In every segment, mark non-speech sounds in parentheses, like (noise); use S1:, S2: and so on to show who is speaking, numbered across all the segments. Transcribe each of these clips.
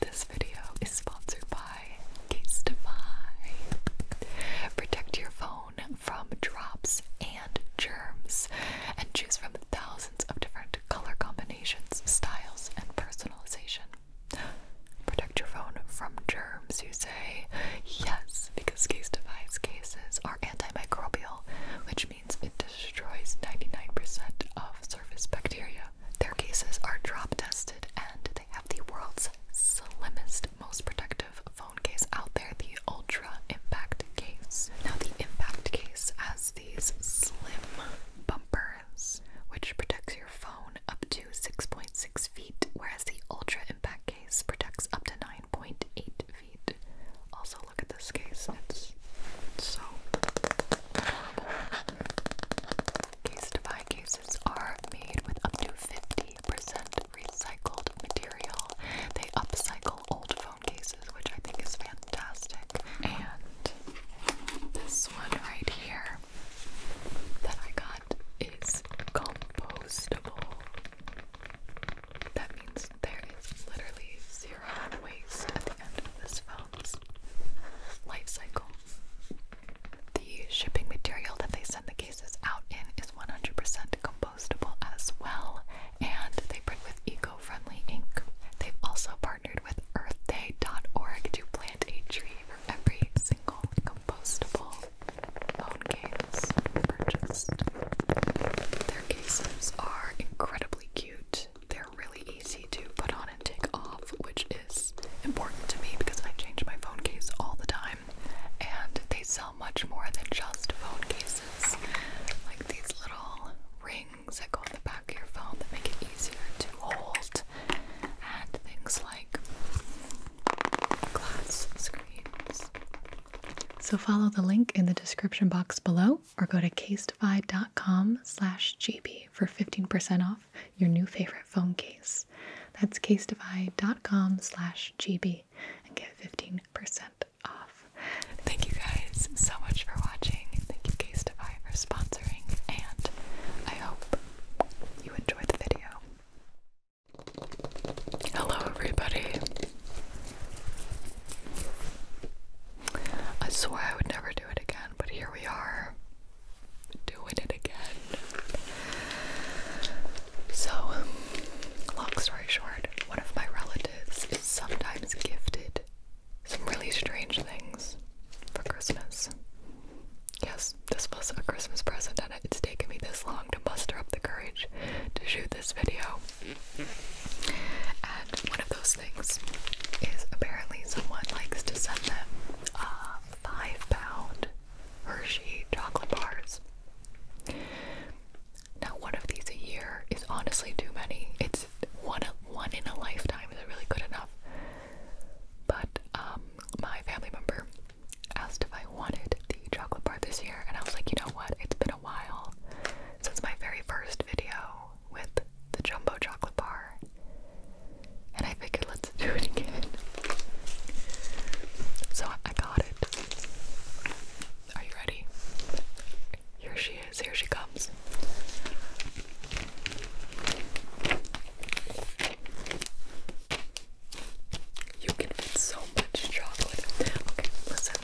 S1: This video is sponsored by Case Casetify. Protect your phone from drops and germs and choose from thousands of different color combinations, styles, and personalization. Protect your phone from germs, you say? Yes, because Case Casetify's cases are antimicrobial, which means it destroys 99% of surface bacteria. Their cases are drop tested and they have the world's slimmest, most protective phone case out there the Ultra Impact case. Now, the Impact case has these slim bumpers which protects your phone up to 6.6 feet, whereas the Ultra Impact case protects up to 9.8 feet. Also, look at this case, it's so adorable. Case Defy cases are made with up to 50% recycled material. They upcycle old phone cases, which I think is fantastic. And this one right here that I got is compostable. That means there is literally 0 waste at the end of this phone's life cycle. The shipping material that they send the cases out in is 100% compostable as well, and they print with eco-friendly ink. They've also partnered with earthday.org to plant a tree for every single compostable phone case purchased. Their cases are incredibly cute they're really easy to put on and take off, which is important to me because I change my phone case all the time and they sell much more than just phone cases. Like these little rings that go on the back of your phone that make it easier to hold and things like glass screens. So follow the link in the description box below or go to casedify.com slash gb for 15% off your new favorite phone case. That's casedify.com slash gb and get 15% off. Thank you guys so much for watching. Thank you Casedify for sponsoring and I hope you enjoyed the video. Hello everybody. I swear I would never do it again, but here we are doing it again. So, long story short, one of my relatives is sometimes gifted some really strange things for Christmas. Yes, this was a Christmas present, and it's taken me this long to muster up the courage to shoot this video. And one of those things is apparently someone likes to send them uh, five pound Hershey chocolate bars. Now, one of these a year is honestly too many. It's one one in a lifetime is really good enough. But um, my family member asked if I wanted the chocolate bar this year, and I was like, you know what? It's been a while since my very first video with the jumbo chocolate bar. And I figured let's do it again. So I got it. Are you ready? Here she is, here she comes. You can eat so much chocolate. Okay, listen.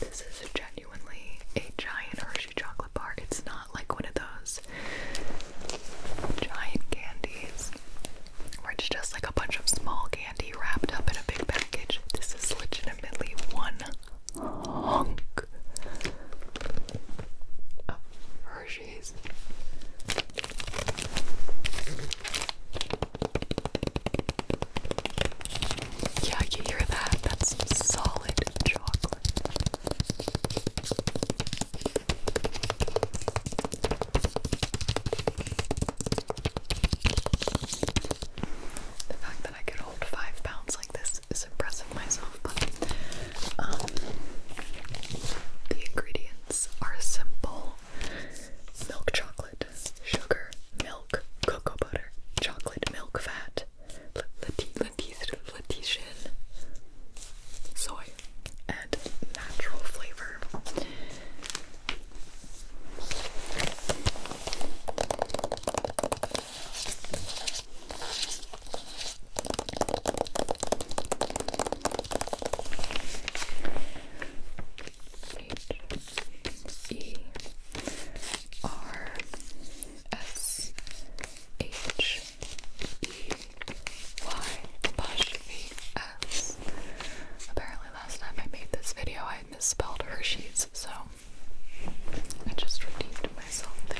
S1: This is a Jack genuinely a giant Hershey chocolate bar. It's not like one of those giant candies where it's just like a bunch of small candy wrapped up in a big package. This is legitimately one hunk Hershey's. Yeah, you hear that? That's solid chocolate. The fact that I could hold five pounds like this is impressive myself, but um, the ingredients are simple milk chocolate, sugar, milk, cocoa butter, chocolate milk fat, Letizian. Soy and natural flavor. H E R S H E Y apostrophe Apparently, last time I made this video, I misspelled Hershey's, so I just redeemed myself there.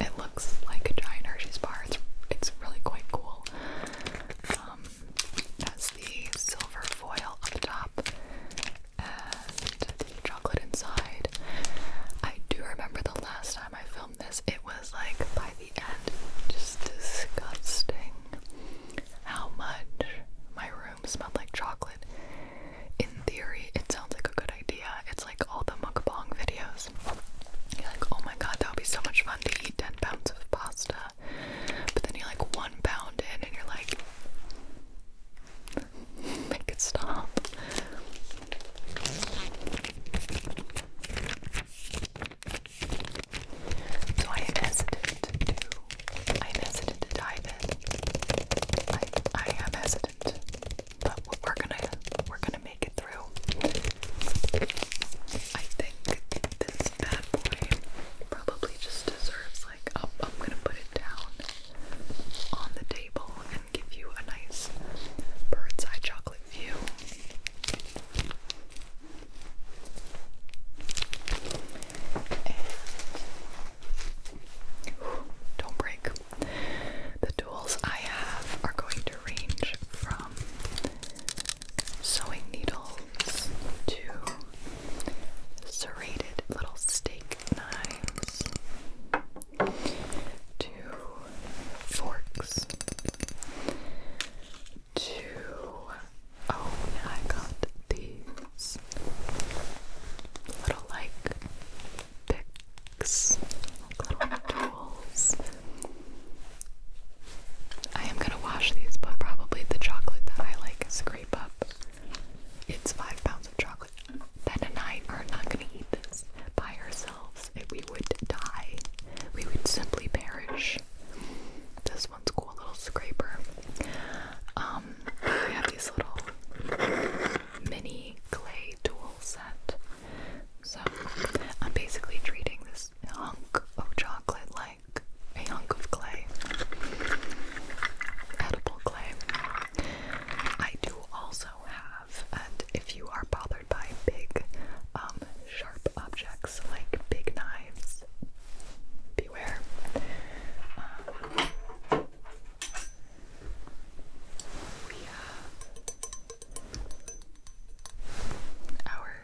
S1: It looks like a giant Hershey's bar. It's it's really quite cool. Um, has the silver foil on the top and the chocolate inside. I do remember the last time I filmed this. It was like by the end, just disgusting. How much my room smelled like chocolate. In theory, it sounds like a good idea. It's like all the mukbang videos like, oh my god, that would be so much fun to eat 10 pounds of pasta. But then you're like one pound in and you're like, (laughs) make it stop. So I am hesitant to, I am hesitant to dive in. I, I am hesitant, but we're gonna, we're gonna make it through. I think this bad boy probably just deserves like oh, I'm gonna put it down on the table and give you a nice bird's eye chocolate view. don't break. The tools I have are going to range from sewing needles two serrated little steak knives two forks two. oh I got these little like pick tools. I am gonna wash these, but probably the chocolate that I like scrape up. It's five pounds of chocolate. Ben and I are not gonna eat this by ourselves. If We would die. We would simply perish. This one's cool, little scraper. Um, we have these little mini clay tool set. So I'm basically treating this hunk of chocolate like a hunk of clay. Edible clay. I do also have, and if you are bothered by big, um, sharp objects like big knives, beware. Um, our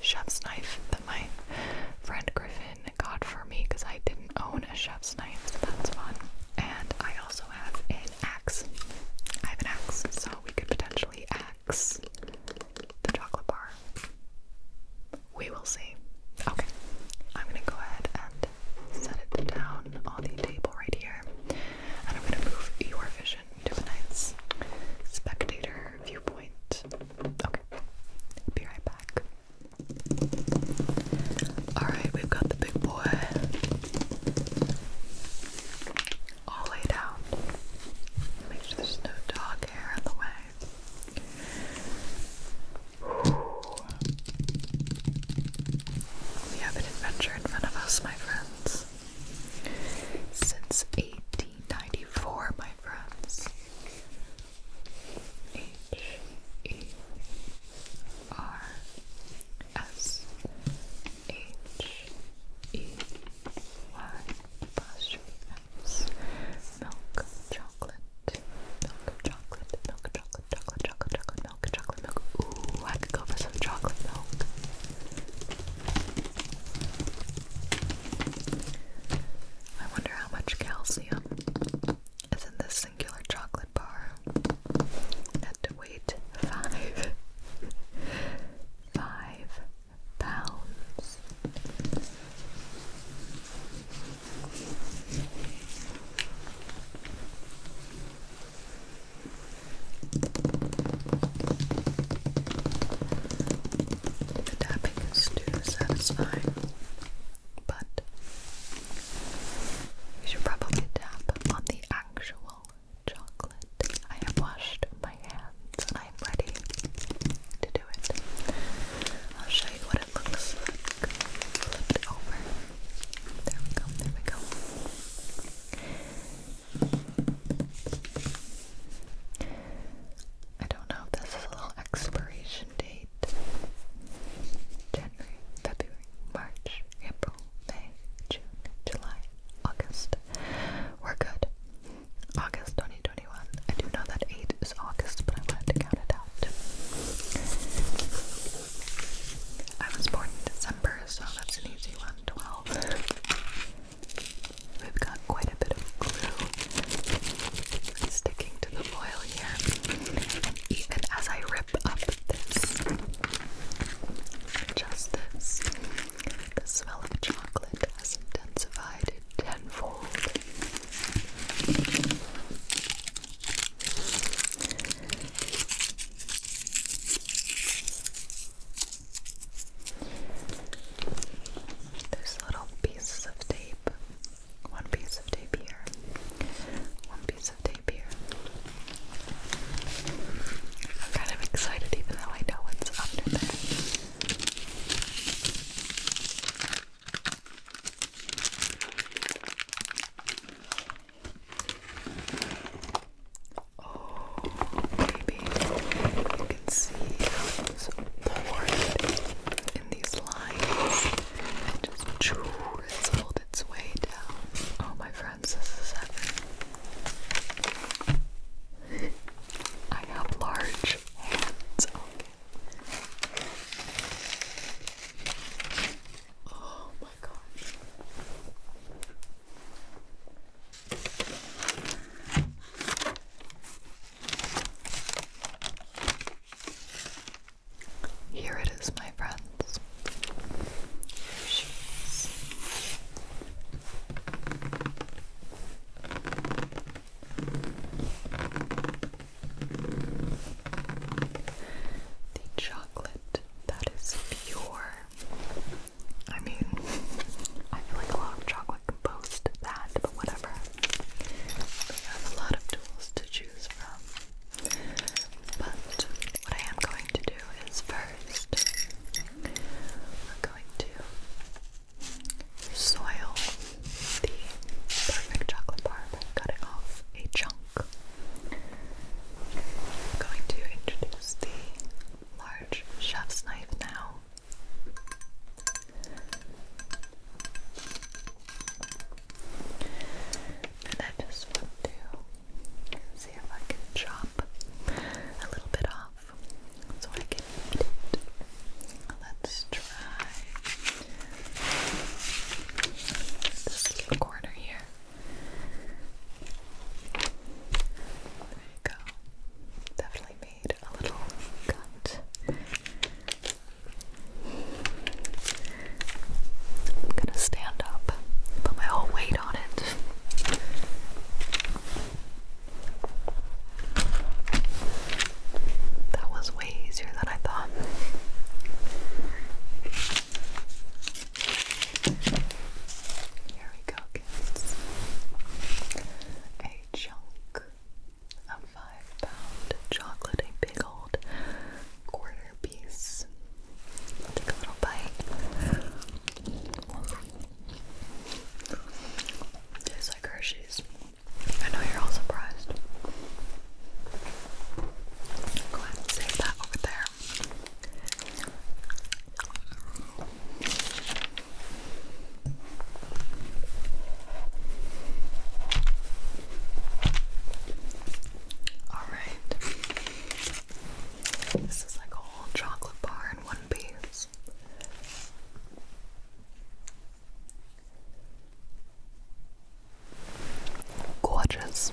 S1: chef's knife that my friend Griffin got for me because I didn't own a chef's knife, so that's fun. And I also have an axe. I have an axe, so we could potentially axe the chocolate bar. We will see. Okay, I'm gonna go ahead and set it down on the table right here, and I'm gonna move your vision do a nice spectator viewpoint. Okay, be right back. Alright, we've got the big boy all laid out. Make sure there's no dog hair in the way. We have an adventure in front of us, my friends. Since 1894, my friends. H E R S H E Y milk chocolate milk chocolate milk chocolate chocolate chocolate chocolate milk chocolate milk. Ooh, I could go for some chocolate milk. I wonder how much calcium is in this singular chocolate bar. Had to wait five, (laughs) five pounds. The tapping is too satisfying, but we should probably tap on the actual chocolate. I have washed my hands I'm ready to do it. I'll show you what it looks like. Flip it over. There we go, there we go. I don't know if this is a little expiration date. January, February, March, April, May, June, July, August. We're good. August 2021. I do know that 8 is August, but I wanted to count it out. I was born in December, so that's an easy one. 12. We've got quite a bit of glue sticking to the foil here. even as I rip up this, just this, the smell of chocolate has intensified tenfold. There's little pieces of tape. One piece of tape here. One piece of tape here. I'm kind of excited even though I know what's under there. Oh, baby, you can see those poured in these lines and just choo, it's way down. Oh, my friends, this is heaven. I have large hands. Oh here it is, my friends. Here she is. The chocolate that is pure. I mean, I feel like a lot of chocolate can boast that, but whatever. We have a lot of tools to choose from. But what I am going to do is 1st i I'm going to soil the perfect chocolate bar by cutting off a chunk. I'm going to introduce the large chef's knife now. And I just want to see if I can chop a little bit off so I can eat it. Let's try this little corner here. There you go. Definitely made a little cut. I'm gonna stand up, put my whole weight on it. That was way easier than I thought. Here we go, kids. A chunk of five pound chocolate, a big old quarter piece. take a little bite. Tastes like Hershey's. I know you're all surprised. Go ahead and save that over there. All right. This is like a whole chocolate bar in one piece. Gorgeous.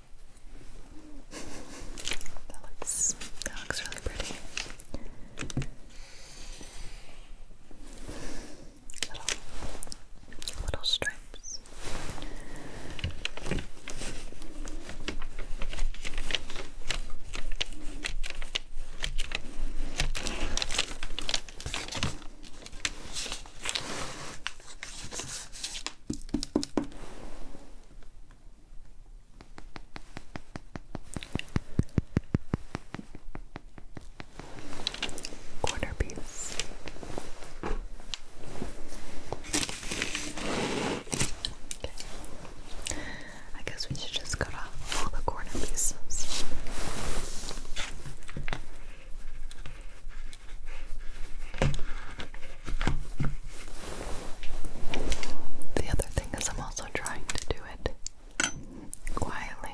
S1: That looks that looks really pretty. Little little stripes. Quarter piece. I guess we should just cut off all the corner pieces. The other thing is, I'm also trying to do it quietly.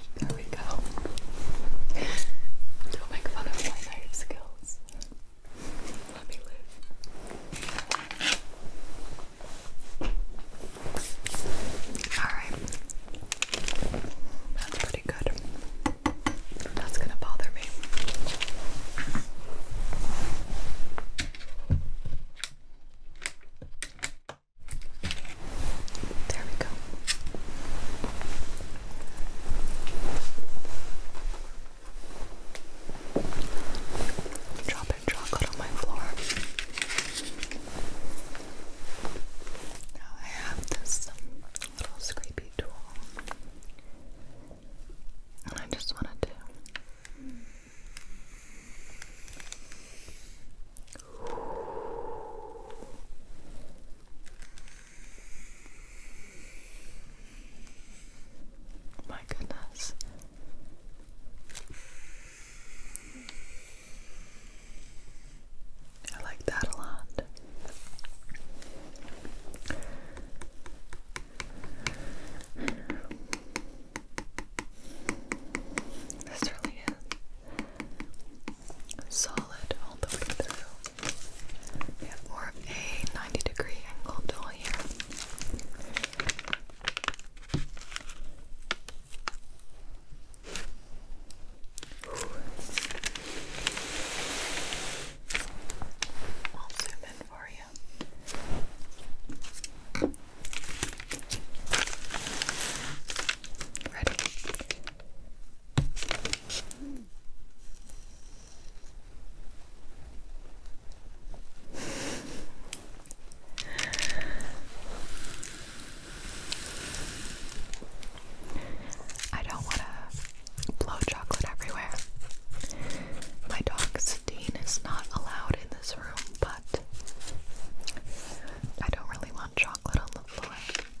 S1: There we go. Don't make fun of my knife skills. Let me live. Alright. That's pretty good. That's gonna bother me. There we go. Dropping chocolate on my floor. Now I have this um, little scrapey tool. And I just wanted to (sighs) My goodness. I like that a lot. (sighs) This really is so solid all the way through. We have more of a 90 degree angle tool here. I'll zoom in for you. Ready? I don't want to blow chocolate everywhere. My dog Steen is not allowed in this room, but I don't really want chocolate on the floor.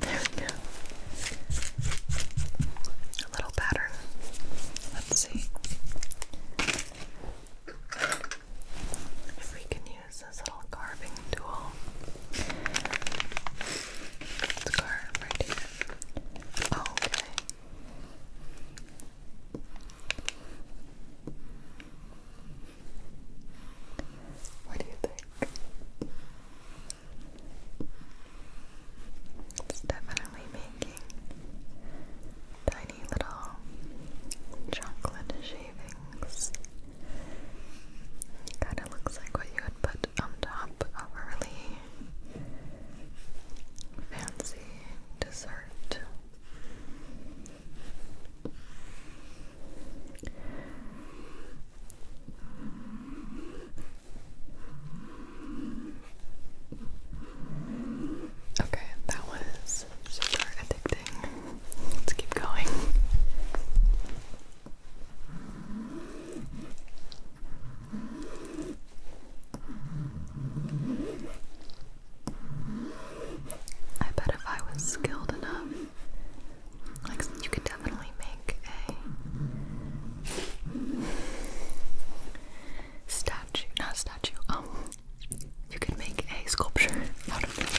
S1: There we go. A little pattern. Let's see if we can use this little carving tool scarf right okay. What do you think? It's definitely making tiny little chocolate shavings. Kinda looks like what you would put put on top of a really fancy dessert. Okay, that was super addicting. Let's keep going. I bet if I was skilled enough, like you could definitely make a statue, not statue, um, you could make a sculpture out of this.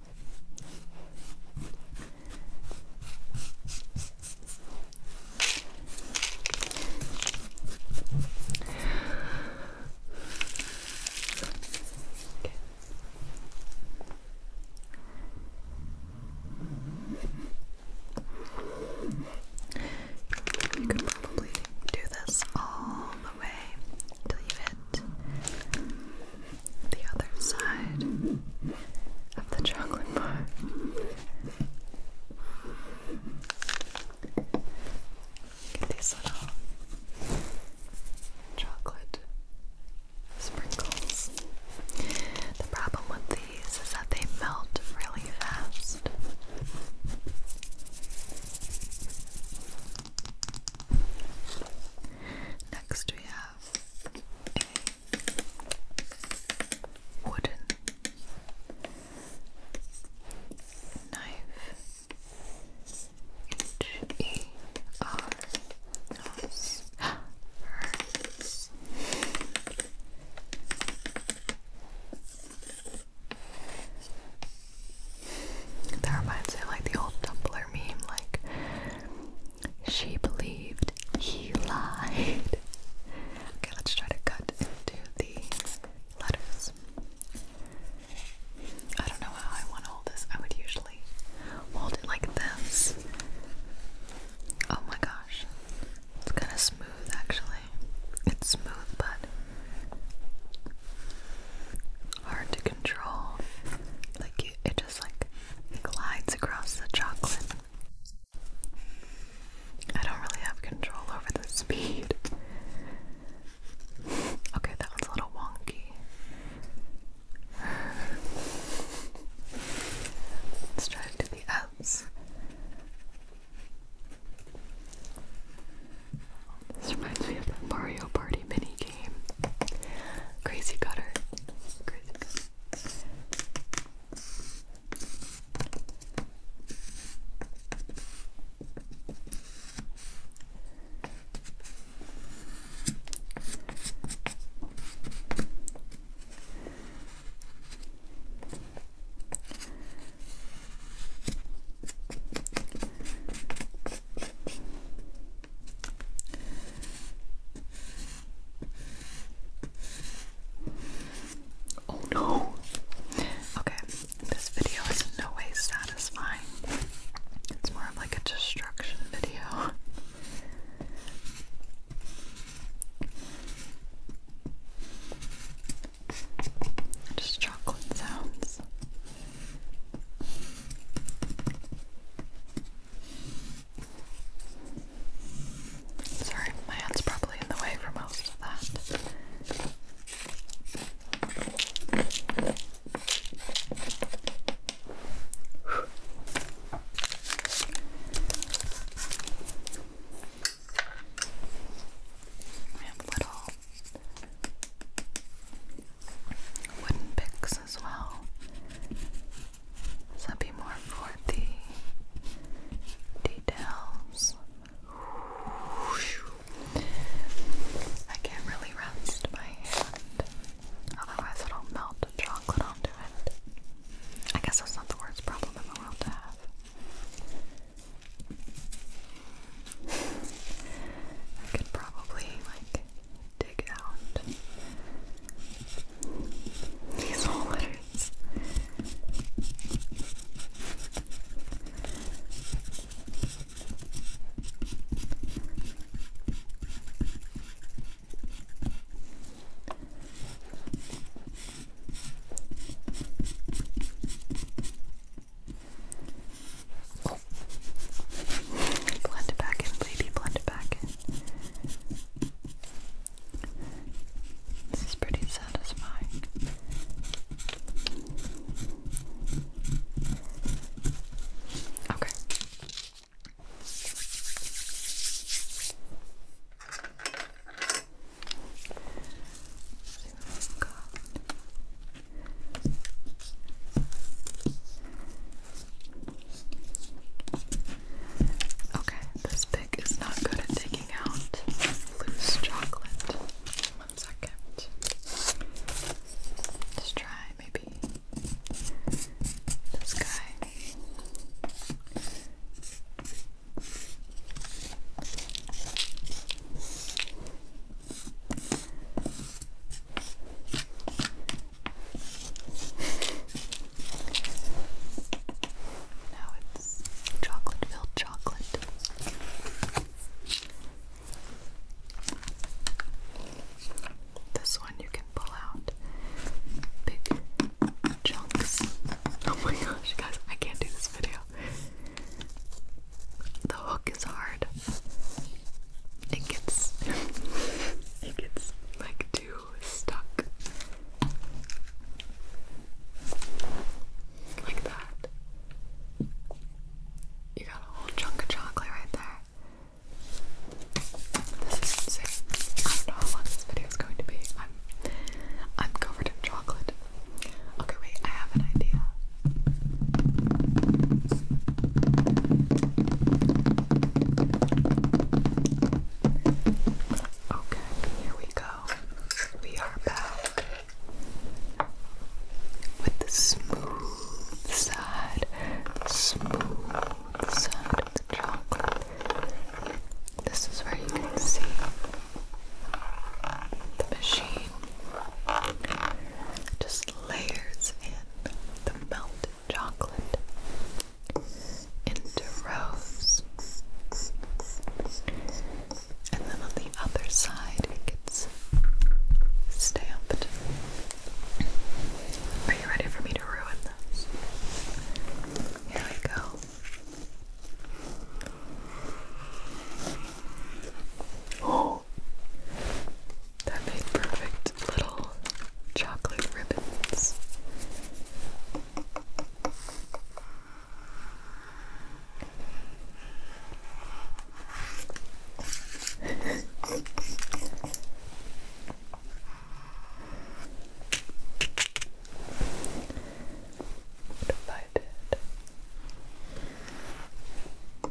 S1: You could probably do this all the way till you hit the other side of the chocolate bar. Get these little chocolate sprinkles. The problem with these is that they melt really fast. Next, we have a wooden knife. H E R S hurts. That reminds me like the old Tumblr meme, like she believed he lied. Okay, let's try to cut into the letters. I don't know how I want to hold this. I would usually hold it like this. Oh my gosh. It's kind of smooth actually. It's smooth but hard to control. Like it, it just like glides across the chocolate. I don't really have control over the speed. (laughs) Okay, that one's a little wonky. Let's try to the outs. This reminds me of the Mario Party mini Crazy cutter. Oh no! Okay, this video is no way satisfying. It's more of like a destruction video. Just chocolate sounds. Sorry, my hand's probably in the way for most of that. We have little wooden picks as well. So more for the details. I can't really rest my hand, otherwise it'll melt chocolate onto it. I guess that's not the worst problem in the world to have. I could probably like dig out these whole letters. Oh, Blend it back in, baby. Blend it back in. This is pretty satisfying. Okay. Let's see what Okay, this pick is not good at taking out loose chocolate. One second. Let's try maybe this guy now it's chocolate filled chocolate. This one you can pull out big chunks. Oh my gosh, guys, I can't do this video. The hook is hard hard. It gets (laughs) it gets like too stuck. Like that. You got a whole chunk of chocolate right there. This is insane. I don't know how long this video is going to be. I'm I'm covered in chocolate. Okay, wait, I have an idea. Okay, here we go. We are back with the smooth side, smooth side of the chocolate. This is where you can see the machine just layers in the melted chocolate into rows. And then on the other side, it gets stamped. Are you ready for me to ruin this? Here we go. Oh, that made perfect little chocolate ribbons. What (laughs) if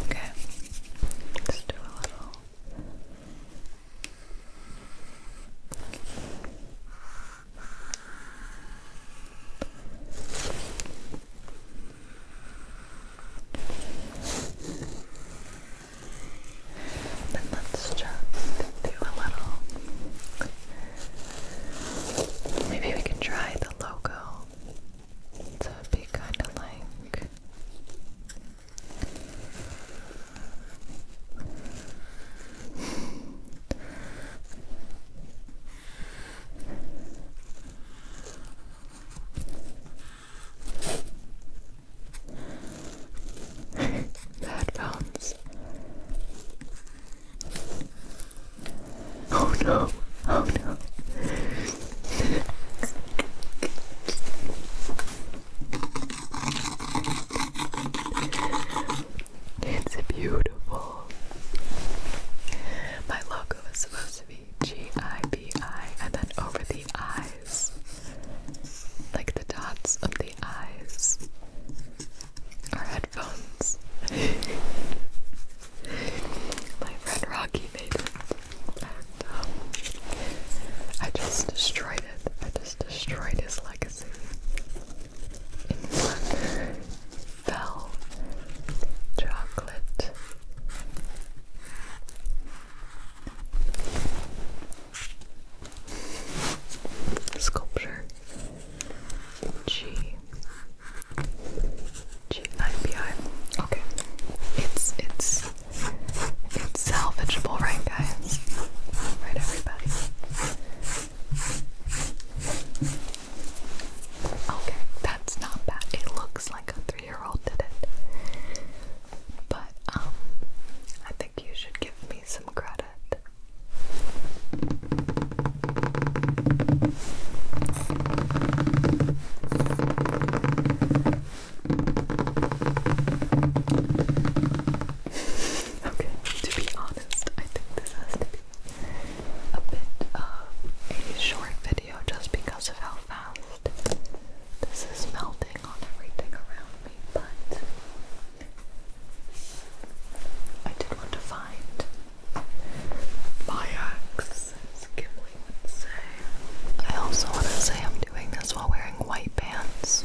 S1: Okay, let do a little then let's just do a little. Maybe we can try the logo. So it'd be kind of like the headphones. Oh no, oh no. (laughs) It's beautiful. My logo is supposed to be G I B I, and then over the eyes, like the dots of the eyes, are headphones. (laughs) My friend Rocky made And, um, I just destroyed it has destroyed his legacy in one fell chocolate. Sculpture G G I B I. Okay, it's it's salvageable, right, guys? Right, everybody? Okay, that's not bad. It looks like a three year old did it. But, um, I think you should give me some credit. Okay, to be honest, I think this has to be a bit of a short video just because of how fast this is melting on everything around me, but I did want to find my axe, I also want to say I'm doing this while wearing white pants.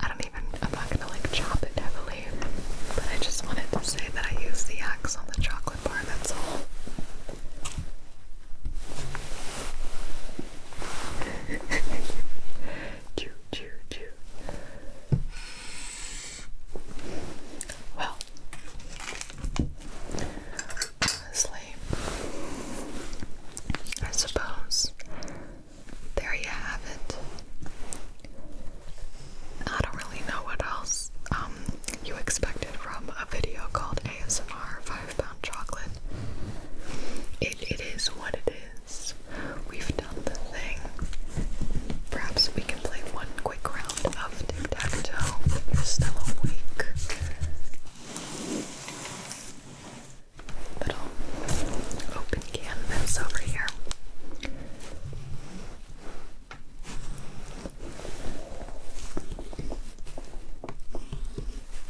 S1: I don't even, I'm not gonna like chop it heavily, but I just wanted to say that I use the axe on the chocolate bar, that's all chew, chew, chew. Well, honestly, I suppose there you have it. I don't really know what else um, you expected from a video called ASMR five pound chocolate. It it is what it is. We've done the thing. Perhaps we can play one quick round of tic tac toe. You're still awake. Little open canvas over here.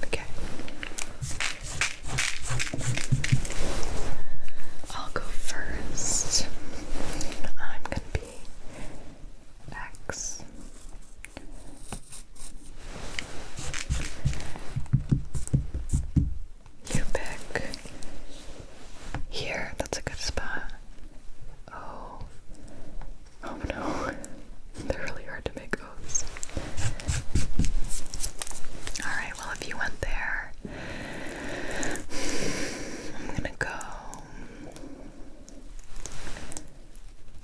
S1: Okay. I'll go first. I'm gonna be X. You pick here, that's a good spot. Oh, oh no, (laughs) they're really hard to make Alright, well, if you went there, I'm gonna go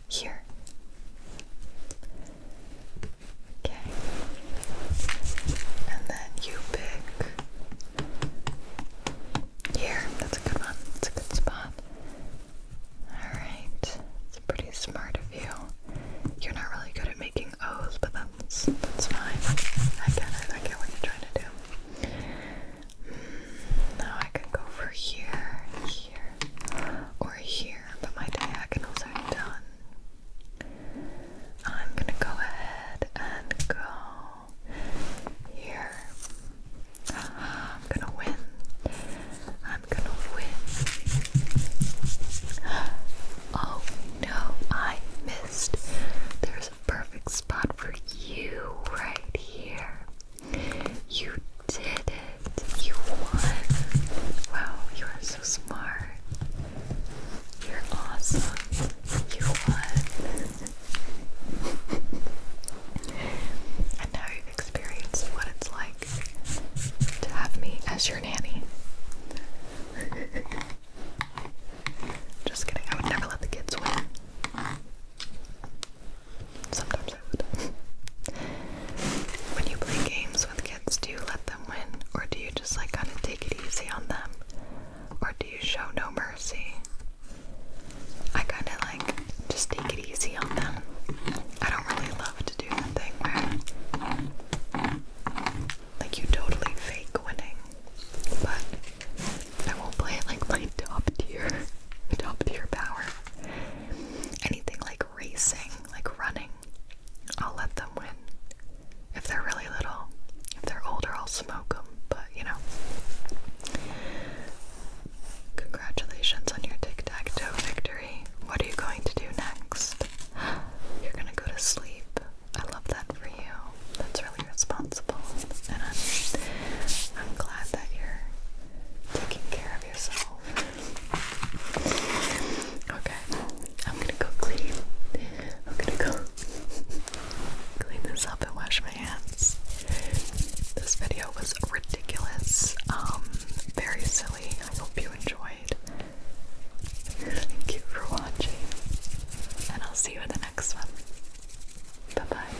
S1: here. Okay. And then you pick here. That's a good one. That's a good spot. Alright. It's pretty smart you. You're not really good at making O's, but that's that's fine. I get it. I get what you're trying to do. Hmm, now I can go for here, here, or here, but my diagonals are done. I'm gonna go ahead and go here. (gasps) I'm gonna win. I'm gonna win. (gasps) Oh no, I missed. There's a perfect spot for you right here. You did it. You won. Wow, you are so smart. You're awesome. You won. (laughs) and now you've experienced what it's like to have me as your nanny. Just kidding, I would never let the kids win. Sometimes I would. when you play games with kids, do you let them win? Or do you just like kind of take it easy on them? Or do you show no mercy? I kind of like just take it easy on them. I don't really love to do like you totally fake winning, but I won't play like my top tier, (laughs) top tier power. Anything like racing, like running, I'll let them win. If they're really little, if they're older, I'll smoke them. But you know, congratulations on your tic tac toe victory what are you going to do next? You're gonna go to sleep. I love that for you. That's really responsible. And I'm, I'm glad that you're taking care of yourself. Okay, I'm gonna go clean. I'm gonna go (laughs) clean this up and wash my hands. This video was ridiculous. Um, very silly. I hope you enjoyed. Thank you for watching, and I'll see you in the next one. Bye bye.